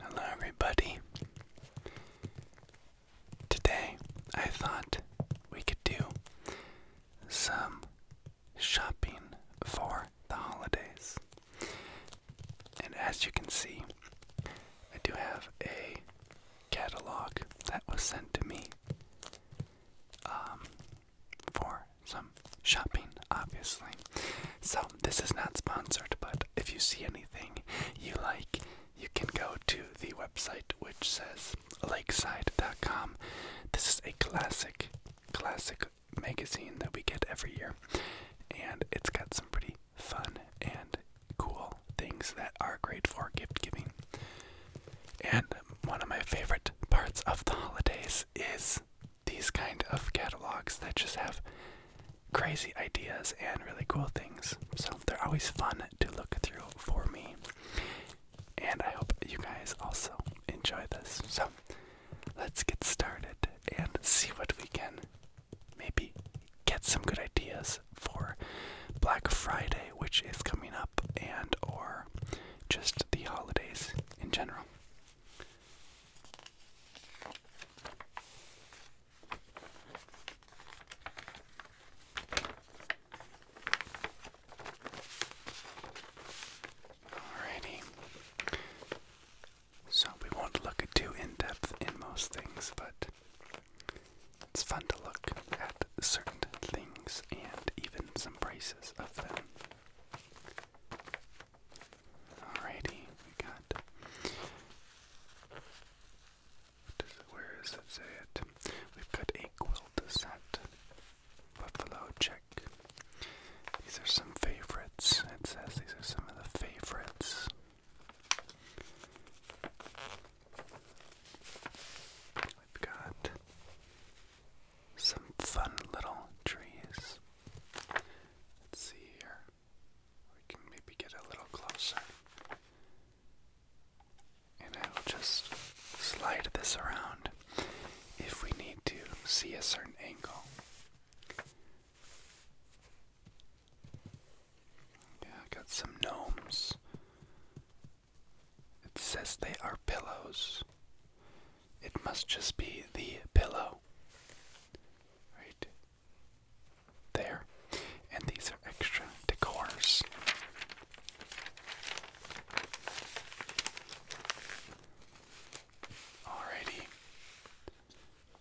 Hello, everybody. Today I thought we could do some shopping for the holidays. And as you can see, I do have a catalog that was sent to me um, for some shopping, obviously. So this is not sponsored, but if you see anything you like, you can go to the website which says lakeside.com. This is a classic, classic magazine that we get every year, and it's got some pretty fun and cool things that are great for gift giving. And one of my favorite parts of the holidays is these kind of catalogs that just have crazy ideas and really cool things. So they're always fun to look through for me. And I hope you guys also enjoy this. So let's get started and see what we can maybe get some good ideas for Black Friday, which is coming up, and or just the holidays in general. Alrighty. So we won't look too in depth in most things, but it's fun to look at certain things and even some prices of them. Alrighty, we got. Does it, where does it say it? We've got a quilt set, buffalo check. These are some favorites. It says these are some of the favorites. We've got some fun little trees. Let's see here. We can maybe get a little closer. And I will just slide this around if we need to see a certain angle. Yeah, I got some gnomes. It says they are pillows. It must just be the pillow right there. And these are extra decors. Alrighty.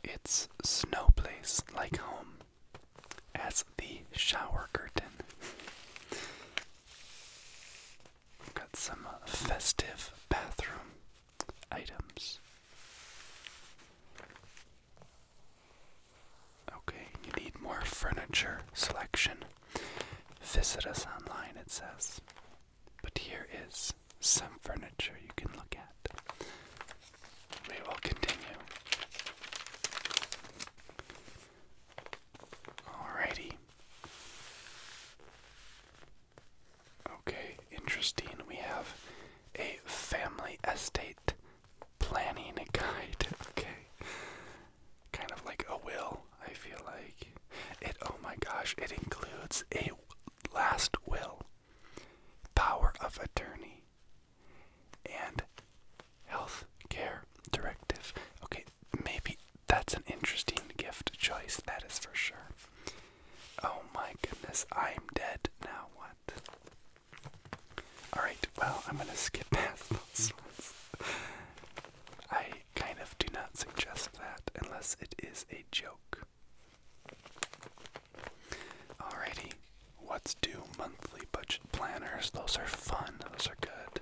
It's snow place like home as the shower curtain. got some festive bathroom items. Okay, you need more furniture selection. Visit us online, it says. But here is some furniture you can look at. We will continue. Alrighty. Okay, interesting. We have a family estate planning guide. Okay. Kind of like a will, I feel like. It oh my gosh, it includes a last will, power of attorney, and health care directive. Okay, maybe that's an interesting gift choice, that is for sure. Oh my goodness, I'm dead. Now what? Alright, well, I'm gonna skip past those ones. I kind of do not suggest that unless it is a joke. Alrighty, what's due monthly budget planners? Those are fun, those are good.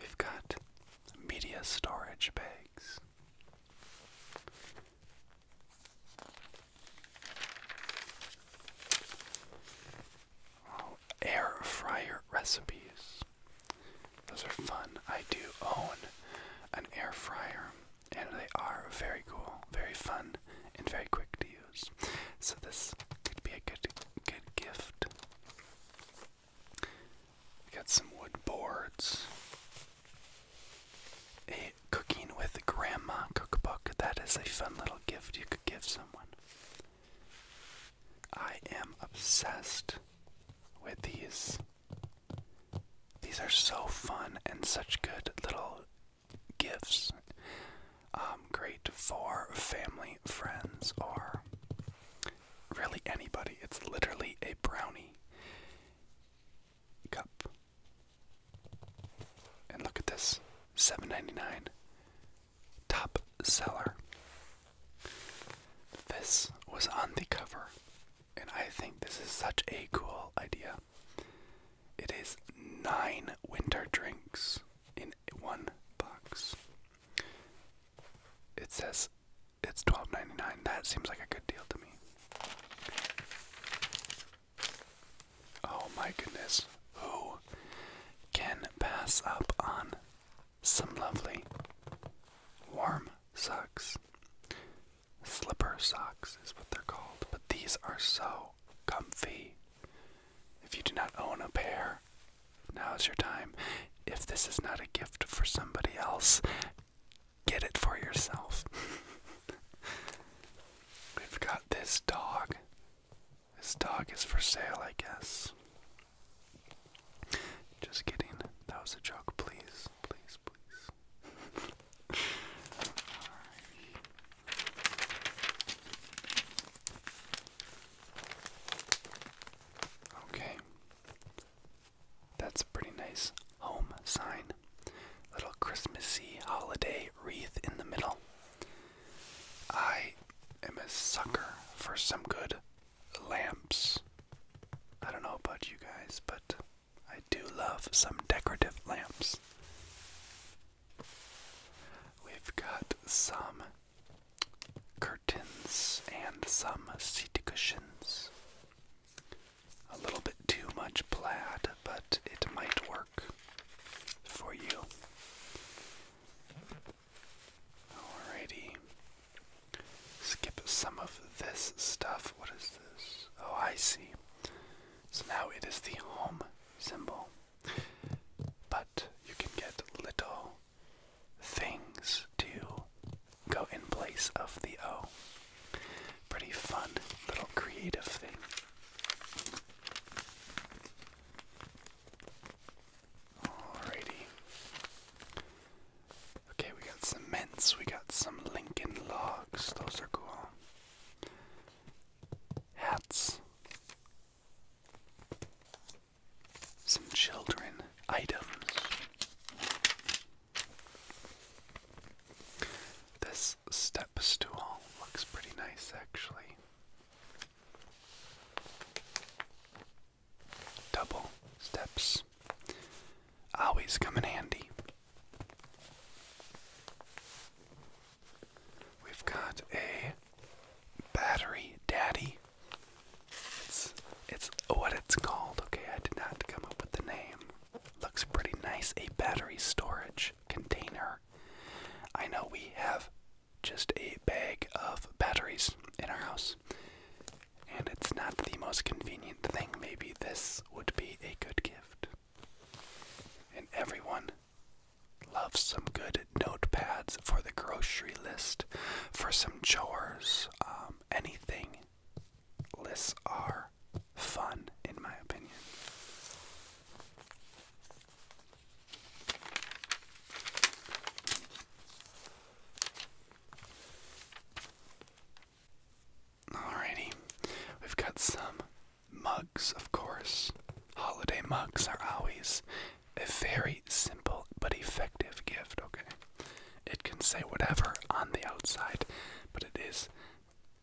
We've got media storage bags air fryer recipes. Those are fun. I do own an air fryer, and they are very cool, very fun, and very quick to use. So this could be a good, good gift. We got some wood boards. A cooking with grandma cookbook. That is a fun little gift you could give someone. I am obsessed with these. These are so fun and such good little gifts. Um, great for family, friends, or really anybody. It's literally a brownie cup. And look at this, $7.99. Top seller. This was on the cover, and I think this is such a cool idea. It is nine winter drinks in one box. It says it's twelve ninety nine. That seems like a good deal to me. Oh my goodness. Who can pass up on some lovely warm socks? Slipper socks is what they're called, but these are so comfy. If you do not own a pair, now is your time. If this is not a gift for somebody else, get it for yourself. We've got this dog. This dog is for sale, I guess. Just kidding. That was a joke. Please, please, please. Okay. That's a pretty nice home sign. Little Christmassy holiday wreath in the middle. I am a sucker for some good lamps. I don't know about you guys, but I do love some decorative lamps. We've got some curtains and some seat cushions a little bit too much plaid, but it might work for you. Alrighty. Skip some of this stuff. What is this? Oh, I see. So now it is the home symbol. But you can get little things too go in place of the O. Pretty fun little creative thing. Alrighty. Okay, we got some we got some Lincoln logs, those are cool. Hats. Some children items. This step stool looks pretty nice actually. Double steps always come in handy. We've got a battery daddy. It's it's what it's called. Okay, I did not come up with the name. Looks pretty nice. A battery storage container. I know we have just a bag of batteries in our house, and it's not the most convenient thing. Maybe this would be a good gift. And everyone loves some good notepads for the grocery list, for some chores, um, anything lists are fun, in my opinion. Alrighty, we've got some mugs, of course. Holiday mugs are always a very simple but effective gift, okay? It can say whatever on the outside, but it is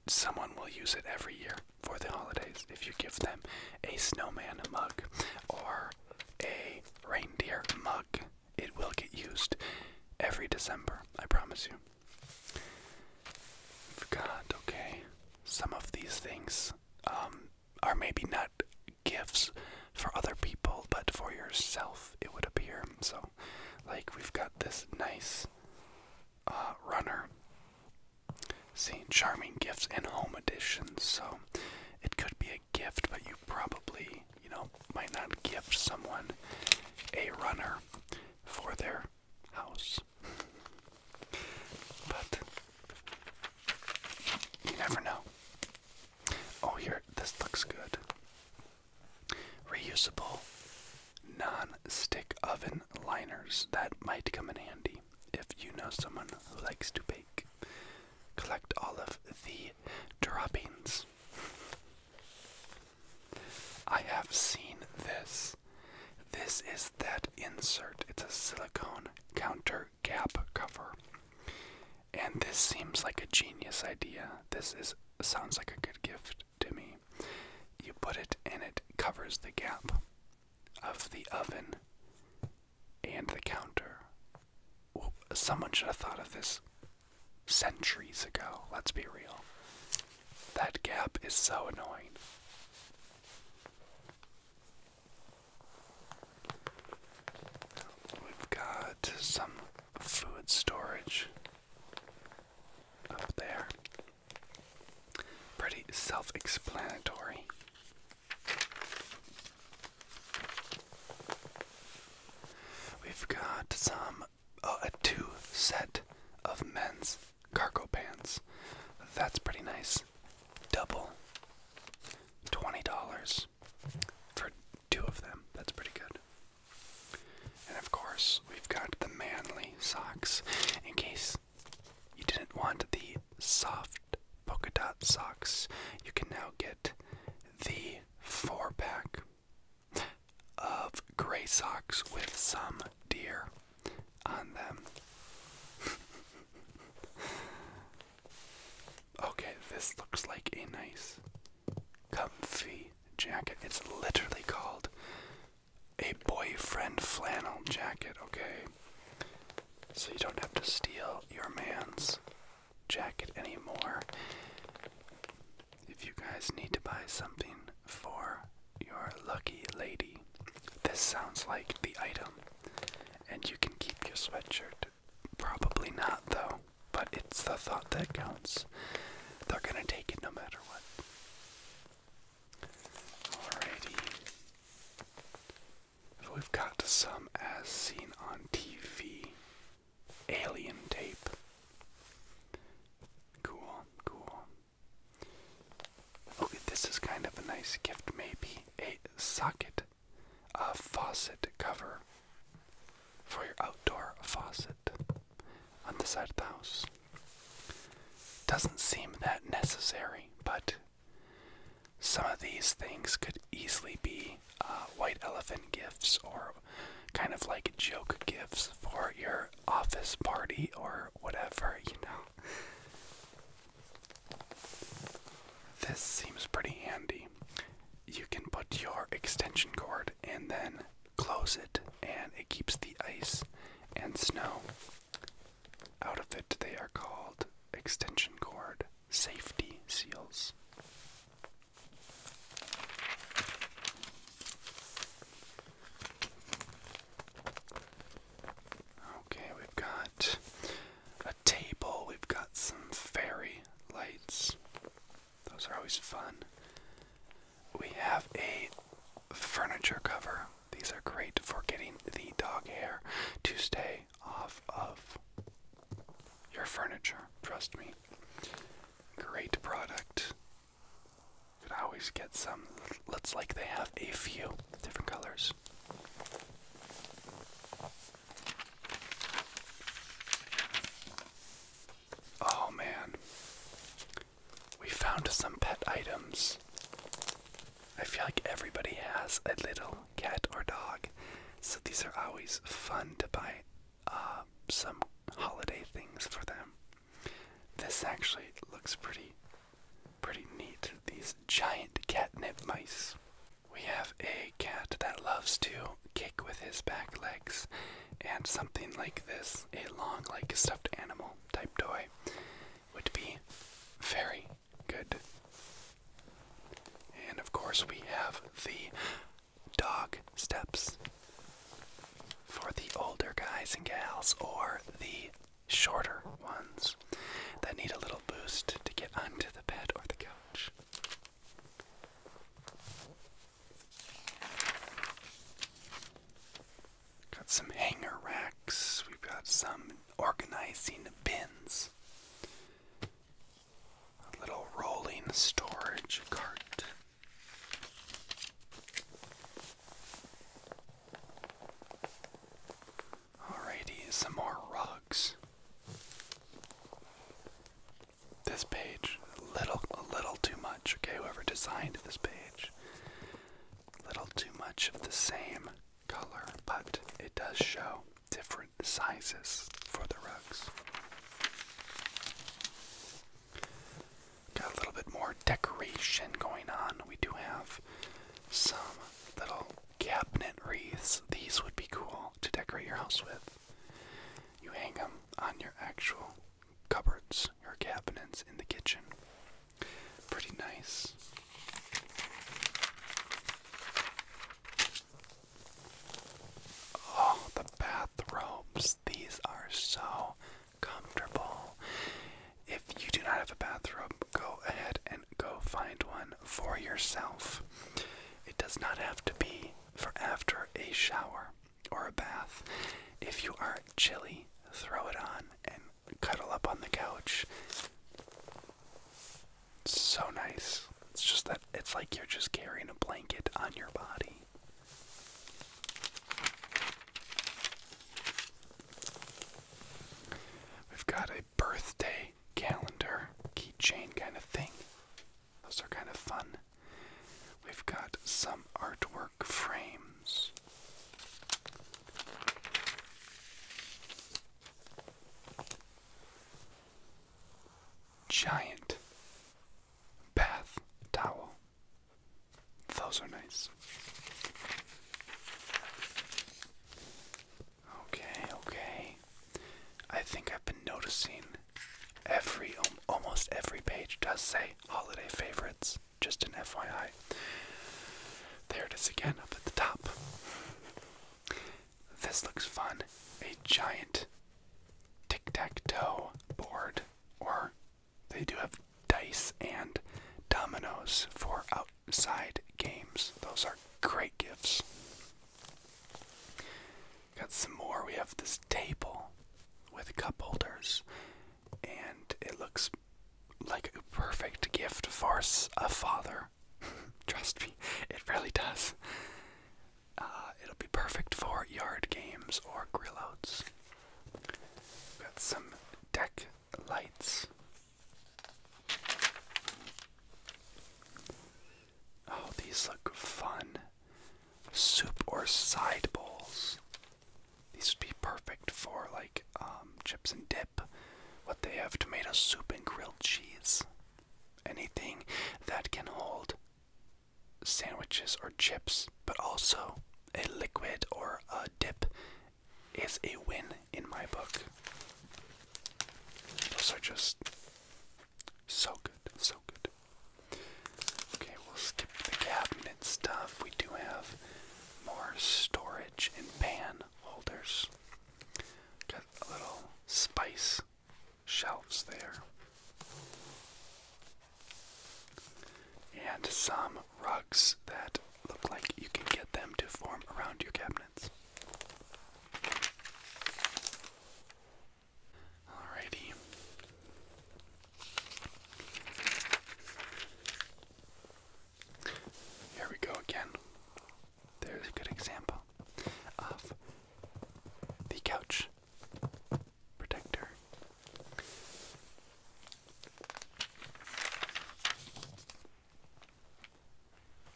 someone will use it every year for the holidays if you give them a snowman mug or a reindeer mug. It will get used every December, I promise you. Forgot, okay. Some of these things um, are maybe not gifts for other people, but for yourself, it would appear. So like we've got this nice uh, runner. seeing charming gifts and home editions. So it could be a gift, but you probably, you know, might not gift someone a runner for their house. But you never know. Oh, here, this looks good. Reusable non stick oven liners that might come in handy if you know someone who likes to bake. Collect all of the droppings. I have seen this. This is that insert. It's a silicone counter cap cover. And this seems like a genius idea. This is sounds like a good gift to me. You put it and it covers the gap of the oven and the counter. someone should have thought of this centuries ago, let's be real. That gap is so annoying. We've got some food storage up there. Pretty self explanatory. We've got some, uh, a two set of men's cargo pants. That's pretty nice. Double $20 for two of them. That's pretty good. And of course, we've got the manly socks. In case you didn't want the soft polka dot socks, you can now get the four pack of gray socks with some deer on them. okay, this looks like a nice comfy jacket. It's literally called a boyfriend flannel jacket, okay? So you don't have to steal your man's jacket anymore. If you guys need to buy something for your lucky lady, this sounds like the item. And you can keep your sweatshirt. Probably not, though. But it's the thought that counts. They're gonna take it no matter what. Alrighty. we've got some as seen on TV. Alien tape. Cool, cool. Okay, this is kind of a nice gift, maybe. A socket, a faucet cover for your outdoor faucet on the side of the house. Doesn't seem that necessary, but some of these things could easily be uh, white elephant gifts or kind of like joke gifts for your office party or whatever, you know. This seems pretty handy. You can put your extension cord and then close it, and it keeps the ice and snow out of it. They are called extension cord safety seals. Okay, we've got a table, we've got some fairy lights, those are always fun. We have a furniture cover. These are great for getting the dog hair to stay off of your furniture. Trust me. Great product. Could always get some. Looks like they have a few different colors. Oh man. We found some pet items. I feel like everybody has a little cat or dog, so these are always fun to buy uh, some holiday things for them. This actually looks pretty, pretty neat. These giant catnip mice. We have a cat that loves to kick with his back legs and something like this, a long like stuffed animal type toy would be very good. And of course we have the dog steps for the older guys and gals or the shorter ones that need a little boost to get onto the bed or the couch. Got some hanger racks, we've got some organizing bins, a little rolling storage cart. Alrighty, some more rugs this page a little a little too much. Okay, whoever designed this page, a little too much of the same color, but it does show different sizes for the rugs. Got a little bit more decoration going on. We do have some little cabinet wreaths. These would be cool to decorate your house with. You hang them on your actual cupboards, or cabinets in the kitchen. Pretty nice. Oh, the bathrobes. These are so comfortable. If you do not have a bathrobe, go ahead and go find one for yourself. It does not have to be for after a shower or a bath. If you are chilly, throw it on and cuddle up on the couch. It's so nice. It's just that it's like you're just carrying a blanket on your body. We've got a birthday calendar keychain kind of thing. Those are kind of fun. We've got some artwork frames. Giant bath towel. Those are nice. Okay, okay. I think I've been noticing every almost every page does say holiday favorites. Just an FYI. There it is again up at the top. This looks fun. A giant tic tac toe board, or they do have dice and dominoes for outside games. Those are great gifts. Got some more. We have this table with cup holders, and it looks like a perfect gift for a father. Trust me, it really does. Uh, it'll be perfect for yard games or grill outs. Got some deck lights. Oh, these look fun soup or side bowls. These would be perfect for like um, chips and dip. What they have tomato soup and grilled cheese. Anything that can hold sandwiches or chips, but also a liquid or a dip is a win in my book. Those are just so good, so good. Okay, we'll skip the cabinet stuff. We do have more storage and pan holders. Got a little spice shelves there. And some rugs that look like you can get them to form around your cabinets. Alrighty. Here we go again. There's a good example of the couch protector.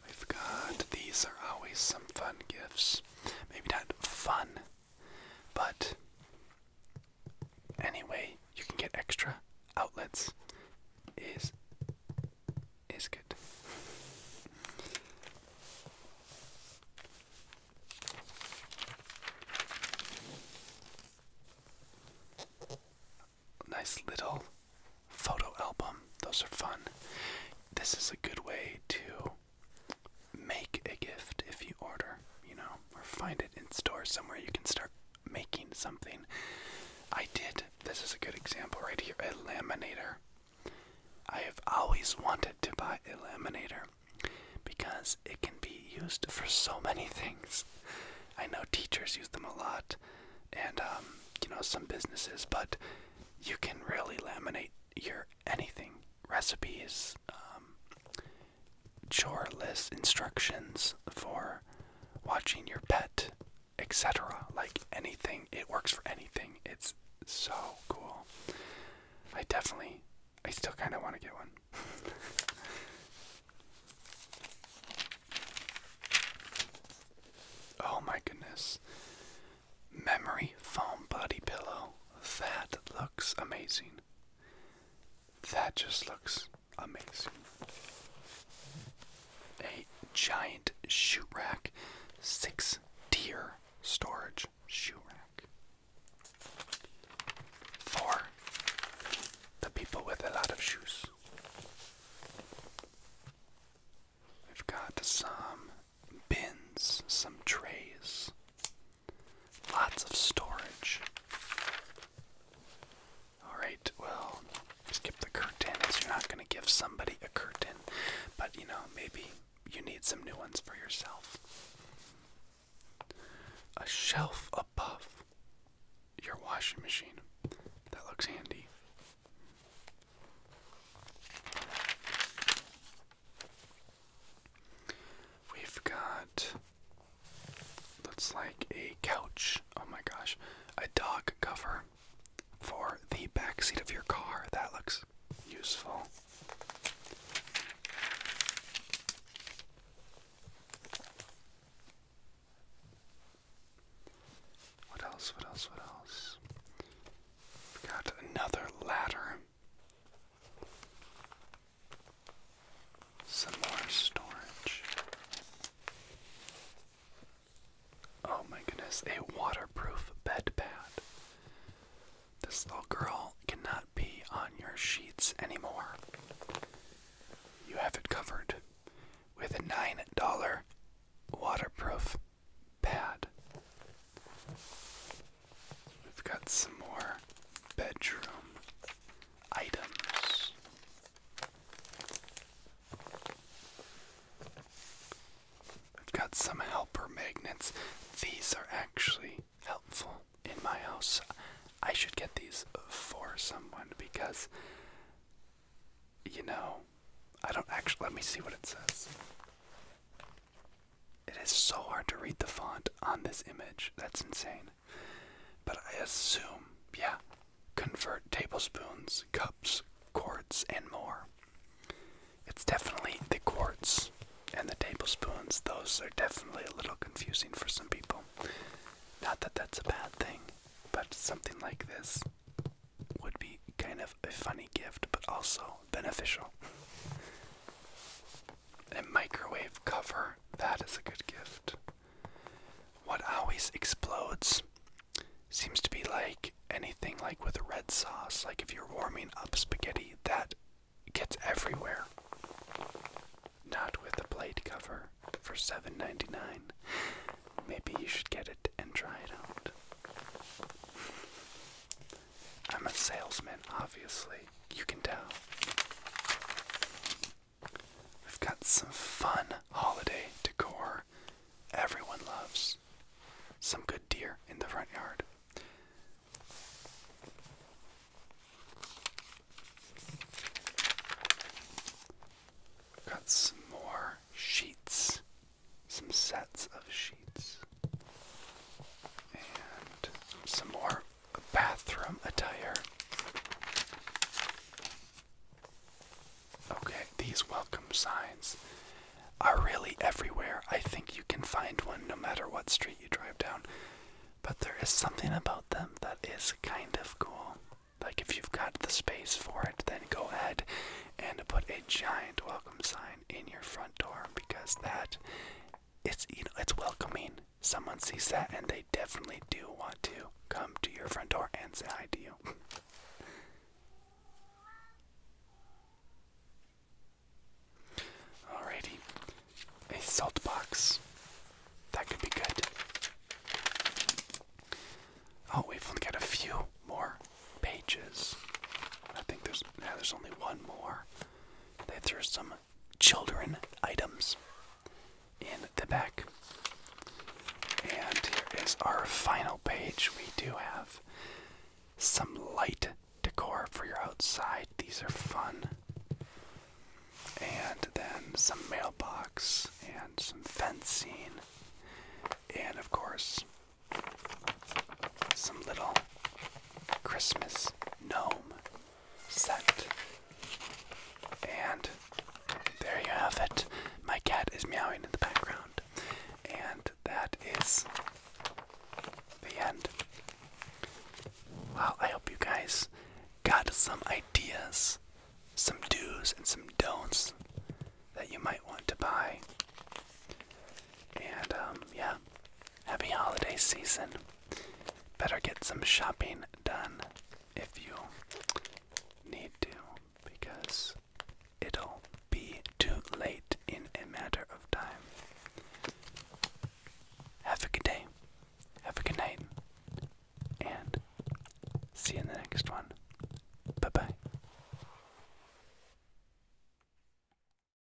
We've got these are always some fun gifts. Maybe not fun, but anyway, you can get extra outlets is is good. Nice little photo album. Those are fun. This is a good way to make a gift if you order, you know, or find it in store somewhere you can start making something. I did, this is a good example right here, a laminator. I have always wanted to buy a laminator because it can be used for so many things. I know teachers use them a lot and, um, you know, some businesses, but you can really laminate your anything recipes, um, chore lists, instructions for watching your pet, etc. Like anything, it works for anything. It's so cool. I definitely, I still kind of want to get one. oh my goodness. Memory foam body pillow that looks amazing. That just looks amazing. A giant shoe rack, six tier storage shoe rack. For the people with a lot of shoes. We've got some bins, some trays, Lots of storage. Alright, well, skip the curtains. You're not going to give somebody a curtain, but you know, maybe you need some new ones for yourself. A shelf above your washing machine. That looks handy. We've got looks like a couch. Oh my gosh. A dog cover for the back seat of your car. That looks useful. What else? What else? What else? We've got another ladder. Some more storage. Oh my goodness, a waterproof bed pad. This little girl cannot be on your sheets anymore. You have it covered with a $9 waterproof pad. We've got some more bedroom items. We've got some helper magnets. These are actually helpful in my house. I should get these for someone because, you know, I don't actually. Let me see what it says. It is so hard to read the font on this image. That's insane. But I assume, yeah, convert tablespoons, cups, quarts, and more. It's definitely the quarts and the tablespoons. Those are definitely a little confusing for some people. Not that that's a bad thing, but something like this would be kind of a funny gift, but also beneficial a microwave cover. That is a good gift. What always explodes seems to be like anything like with red sauce. Like if you're warming up spaghetti, that gets everywhere. Not with a plate cover for $7.99. Maybe you should get it and try it out. I'm a salesman, obviously. You can tell. We've got some fun holiday decor everyone loves. Some good deer in the front yard. We've got some more sheets, some sets of sheets. And some more bathroom attire. Okay, these welcome signs are really everywhere. I think you can find one no matter what street you drive down. But there is something about them that is kind of cool. Like, if you've got the space for it, then go ahead and put a giant welcome sign in your front door because that it's you know it's welcoming. Someone sees that and they definitely do want to come to your front door and say hi to you. Alrighty. A salt box. That could be good. Oh, we've only got a few more pages. I think there's now there's only one more. They threw some children items in the back. And here is our final page. We do have some light decor for your outside. These are fun. And then some mailbox and some fencing. And of course, some little Christmas gnome scent. And there you have it. My cat is meowing in the background. And that is the end. Well, I hope you guys got some ideas, some do's and some don'ts that you might want to buy. And um, yeah, Happy holiday season. Better get some shopping done if you need to, because it'll be too late in a matter of time. Have a good day, have a good night, and see you in the next one. Bye bye.